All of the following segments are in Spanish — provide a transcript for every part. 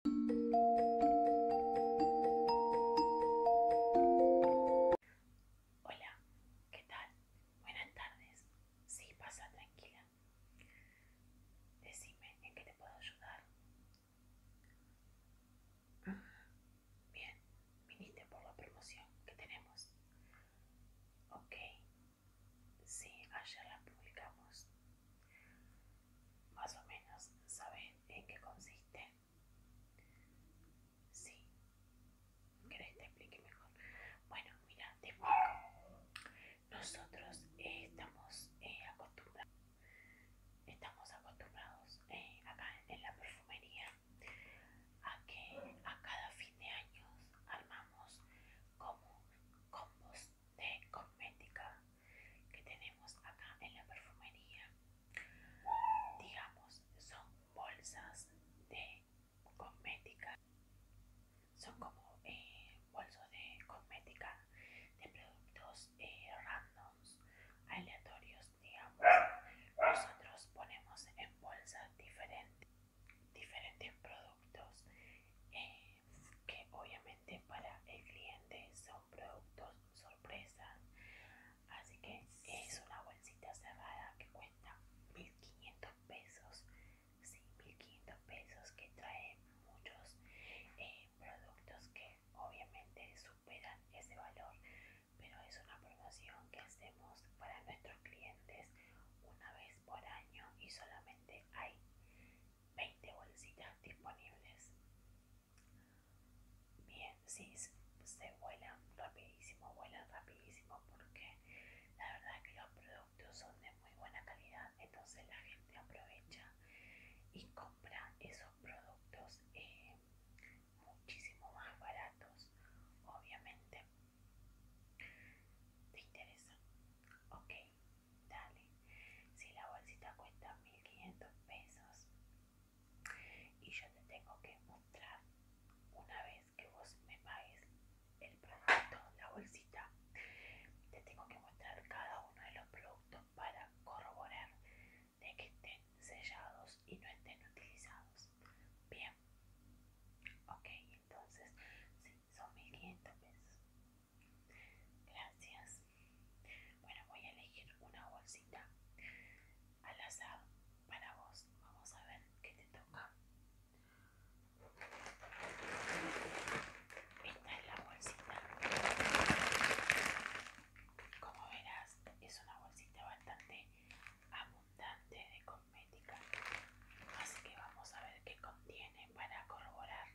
Hola, ¿qué tal? Buenas tardes. Sí, pasa tranquila. Decime en qué te puedo ayudar. Bien, viniste por la promoción que tenemos. Ok, sí, ayer la publicamos. Más o menos, ¿sabes en qué consiste? Sí. ¿Querés te explique mejor? Bueno, mira, Nosotros estamos eh, acostumbrados, estamos acostumbrados eh, acá en la perfumería a que a cada fin de año armamos como combos de cosmética que tenemos acá en la perfumería digamos son bolsas de cosmética son como eh, bolsos de cosmética de productos eh, randoms aleatorios digamos nosotros ponemos en bolsas diferentes diferentes productos eh, que obviamente para el cliente son productos sorpresa así que es una bolsita cerrada que cuesta 1500 pesos sí, 1500 pesos que trae muchos eh, productos que obviamente superan ese valor pero es una promoción que hacemos para nuestros clientes una vez por año y solamente hay 20 bolsitas disponibles. Bien, sí, se vuelan rapidísimo, vuelan rapidísimo porque la verdad que los productos son de muy buena calidad, entonces la gente aprovecha y compra esos productos eh, muchísimo más baratos, obviamente ¿Te interesa? Ok, dale. Si la bolsita cuesta 1500 pesos y yo te tengo que mostrar una vez que vos me pagues el producto, la bolsita, te tengo que mostrar cada uno de los productos para corroborar de que estén sellados y no estén utilizados. Bien. Ok, entonces, son 1500 pesos. Gracias. Bueno, voy a elegir una bolsita al azar para vos. Vamos a ver qué te toca. Esta es la bolsita. Como verás, es una bolsita bastante abundante de comida. Así que vamos a ver qué contiene para corroborar,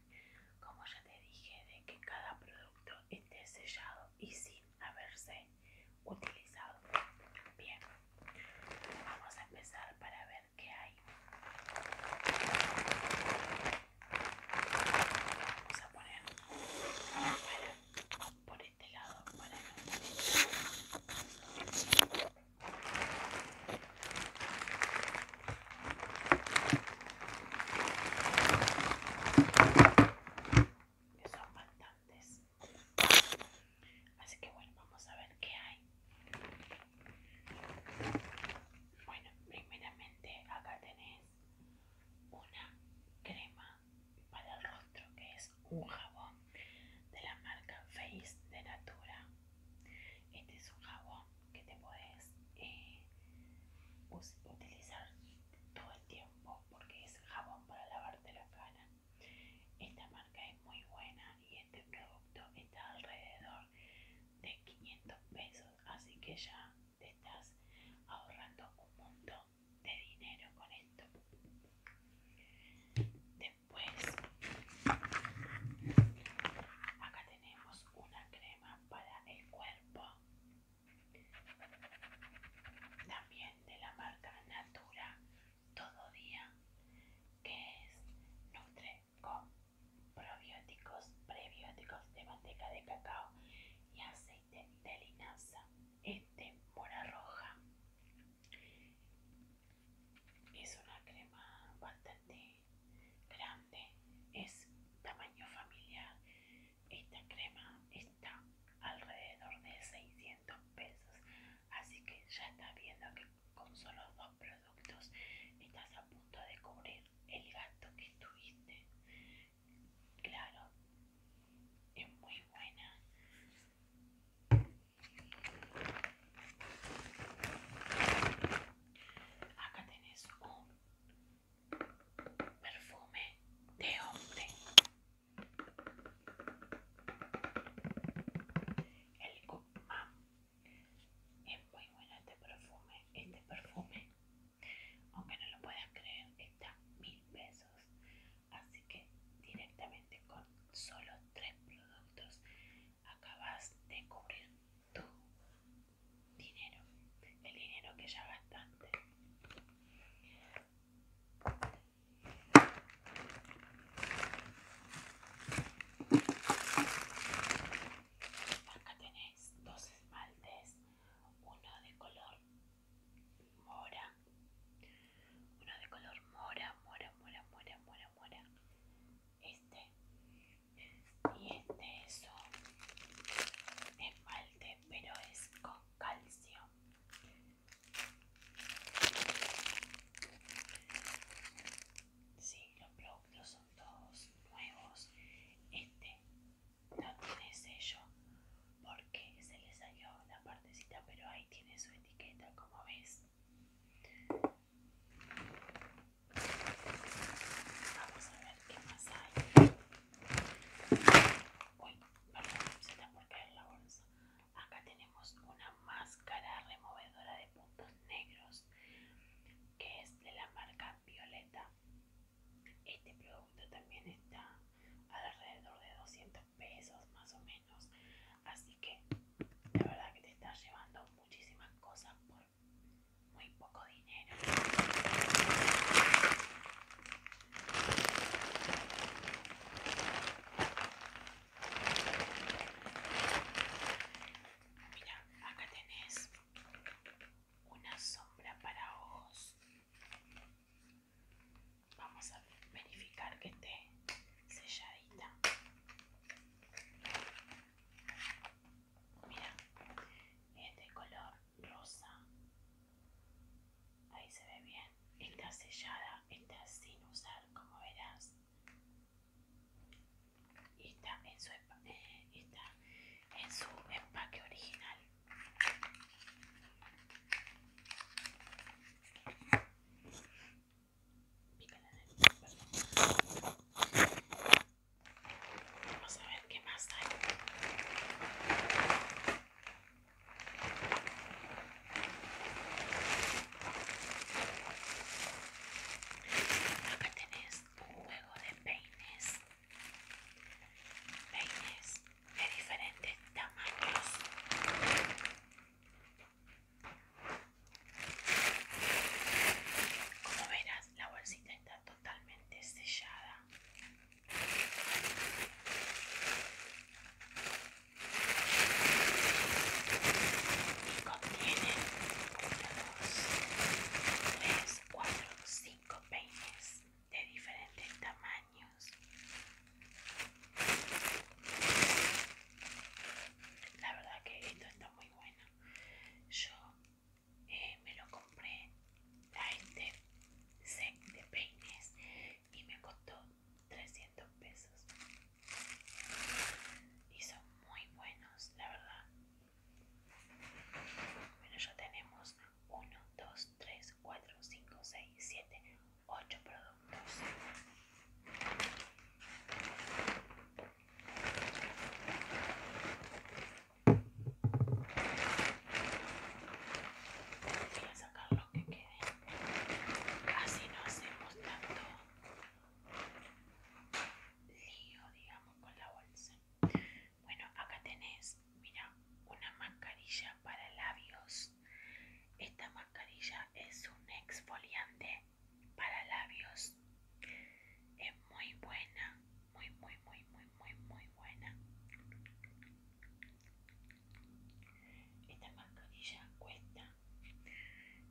como ya te dije, de que cada producto esté sellado y sin haberse utilizado. Bien, vamos a empezar para ver qué hay. Vamos a poner por este lado para que son bastantes así que bueno vamos a ver qué hay bueno primeramente acá tenés una crema para el rostro que es un jabón de la marca Face de Natura. Este es un jabón que te puedes eh, utilizar todo el tiempo porque es jabón para lavarte la cara. Esta marca es muy buena y este producto está alrededor de 500 pesos, así que ya te estás ahorrando un montón de dinero con esto. Pues, acá tenemos una crema para el cuerpo, también de la marca Natura Todo Día, que es Nutre con probióticos, prebióticos de manteca de cacao y aceite de linaza. Este mora roja es una crema bastante grande, es tamaño familiar. Esta crema está alrededor de 600 pesos, así que ya estás viendo que con solo dos productos estás a punto de cubrir el gasto que tuviste. Claro, es muy buena, Acá tenés un perfume de hombre. El Goodman. Es muy bueno este perfume. Este perfume, aunque no lo puedas creer, está mil pesos así que directamente con solo tres productos acabas de cubrir tu dinero el dinero que ya gastaste Acá tenéis dos esmaltes, uno de color mora, uno de color mora, mora, mora, mora, mora, mora, este y este es un esmalte, pero es con calcio. si los productos son todos nuevos. Este no tiene sello porque se le salió la partecita pero ahí tiene su etiqueta como ves vamos a ver qué más hay uy perdón se está por caer la bolsa acá tenemos una máscara removedora de puntos negros que es de la marca violeta este producto también está alrededor de 200 pesos más o menos. Así que la verdad que te estás llevando muchísimas cosas por muy poco dinero. Mira, acá tenés una sombra para ojos Vamos a verificar que esté selladita. Mira, es de color rosa. Ahí se ve bien. Está sellada, está sin usar, como verás. Y está en su, eh, está en su empaque original. Vamos a ver qué más hay. Acá tenés un juego de peines peines de diferentes tamaños como verás la bolsita está totalmente sellada y contiene 1, 2, 3, 4, 5 peines de diferentes tamaños. La verdad que esto está muy bueno. Yo eh, me lo compré a este set de peines y me costó 300 pesos. Y son muy buenos, la verdad. Bueno, ya tenemos 1, 2, 3, 4, 5, 6, 7, 8 productos. Voy a sacar lo que quede. Casi no hacemos tanto lío, digamos, con la bolsa. Bueno, acá tenés, mira, una mascarilla para labios. Esta mascarilla es un exfoliante para labios. Es muy buena, muy, muy, muy, muy, muy, muy buena. Esta mascarilla cuesta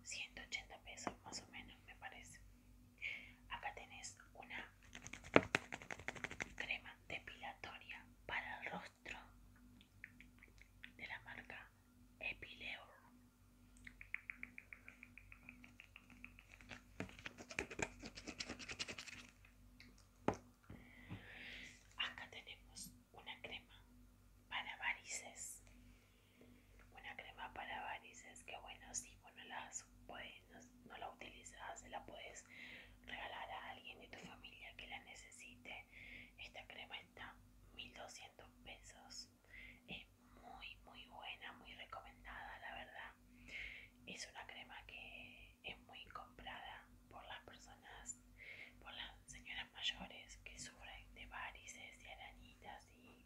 180 pesos más o menos, me parece. Acá tenés una crema depilatoria para el rostro de la marca Epileo. Acá tenemos una crema para varices una crema para varices que bueno, si sí, bueno, las puedes, no, no la utilizas, la puedes regalar a alguien de tu familia que la necesite. Esta crema está 1200 pesos. Es muy, muy buena, muy recomendada, la verdad. Es una crema que es muy comprada por las personas, por las señoras mayores que sufren de varices y arañitas y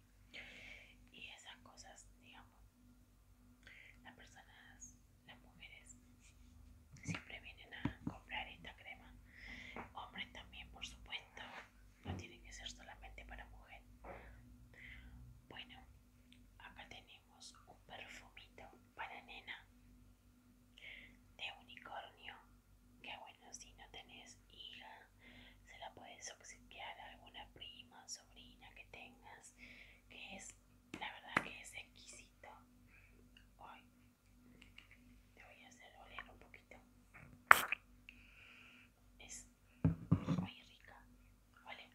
y esas cosas, digamos. Las personas, las mujeres, siempre vienen a comprar esta crema. Hombres también, por supuesto. No tiene que ser solamente para mujer. Bueno, acá tenemos un perfumito para nena de unicornio Qué bueno si no tenés hija, se la puedes obsequiar a alguna prima, sobrina que tengas, que es, la verdad que es exquisito. Hoy te voy a hacer oler un poquito. Es muy rica, ¿vale?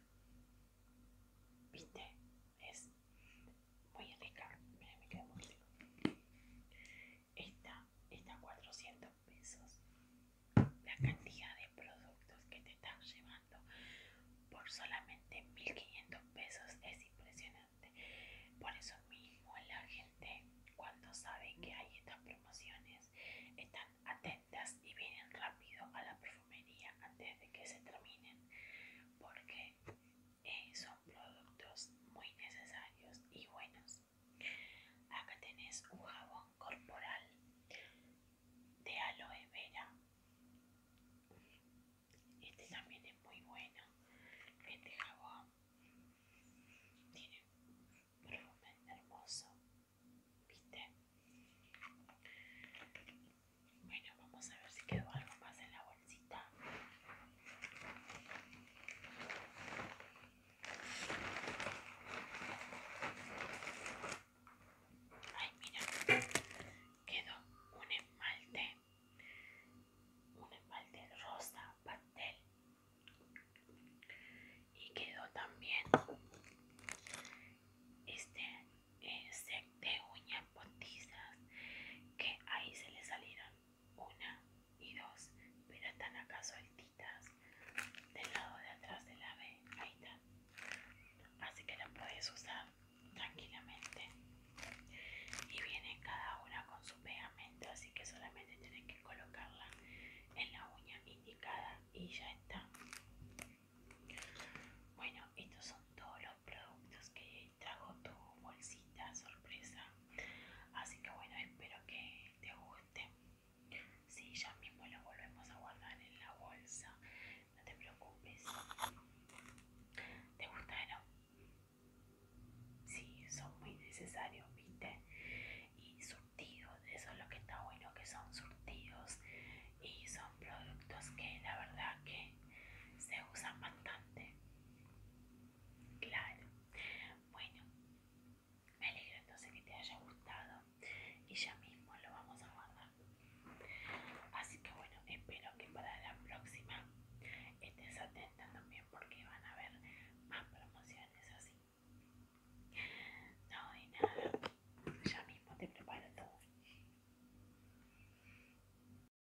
¿Viste? Es muy rica. Mira, me queda muy rico. Esta está 400 pesos. La cantidad de productos que te están llevando por solamente 1500 pesos es impresionante. Por eso mismo la gente cuando sabe que hay estas promociones están atentas y vienen rápido a la perfumería antes de que se terminen porque eh, son productos muy necesarios y buenos. Acá tenés un jabón corporal de aloe vera. Este también es muy bueno. Este jabón tiene un perfume hermoso. ¿Viste? Bueno, vamos a ver si quedó algo más en la bolsita. Ay, mira, quedó un esmalte, un esmalte rosa pastel y quedó también este eh, set de uñas botisas que ahí se le salieron una y dos, pero están acá sueltitas del lado de atrás de la B, ahí está. Así que la puedes usar tranquilamente. Y vienen cada una con su pegamento, así que solamente tienes que colocarla en la uña indicada y ya está. Bueno, estos son todos los productos que trajo tu bolsita sorpresa. Así que bueno, espero que te guste. Sí, ya mismo lo volvemos a guardar en la bolsa. No te preocupes. ¿Te gustaron? Sí, son muy necesarios, viste. Y surtidos, eso es lo que está bueno, que son surtidos. Y son productos que la verdad que se usan bastante. Claro. Bueno, me alegro entonces que te haya gustado y ya mismo lo vamos a guardar. Así que bueno, espero que para la próxima estés atenta también porque van a haber más promociones así. No, hay nada. Ya mismo te preparo todo.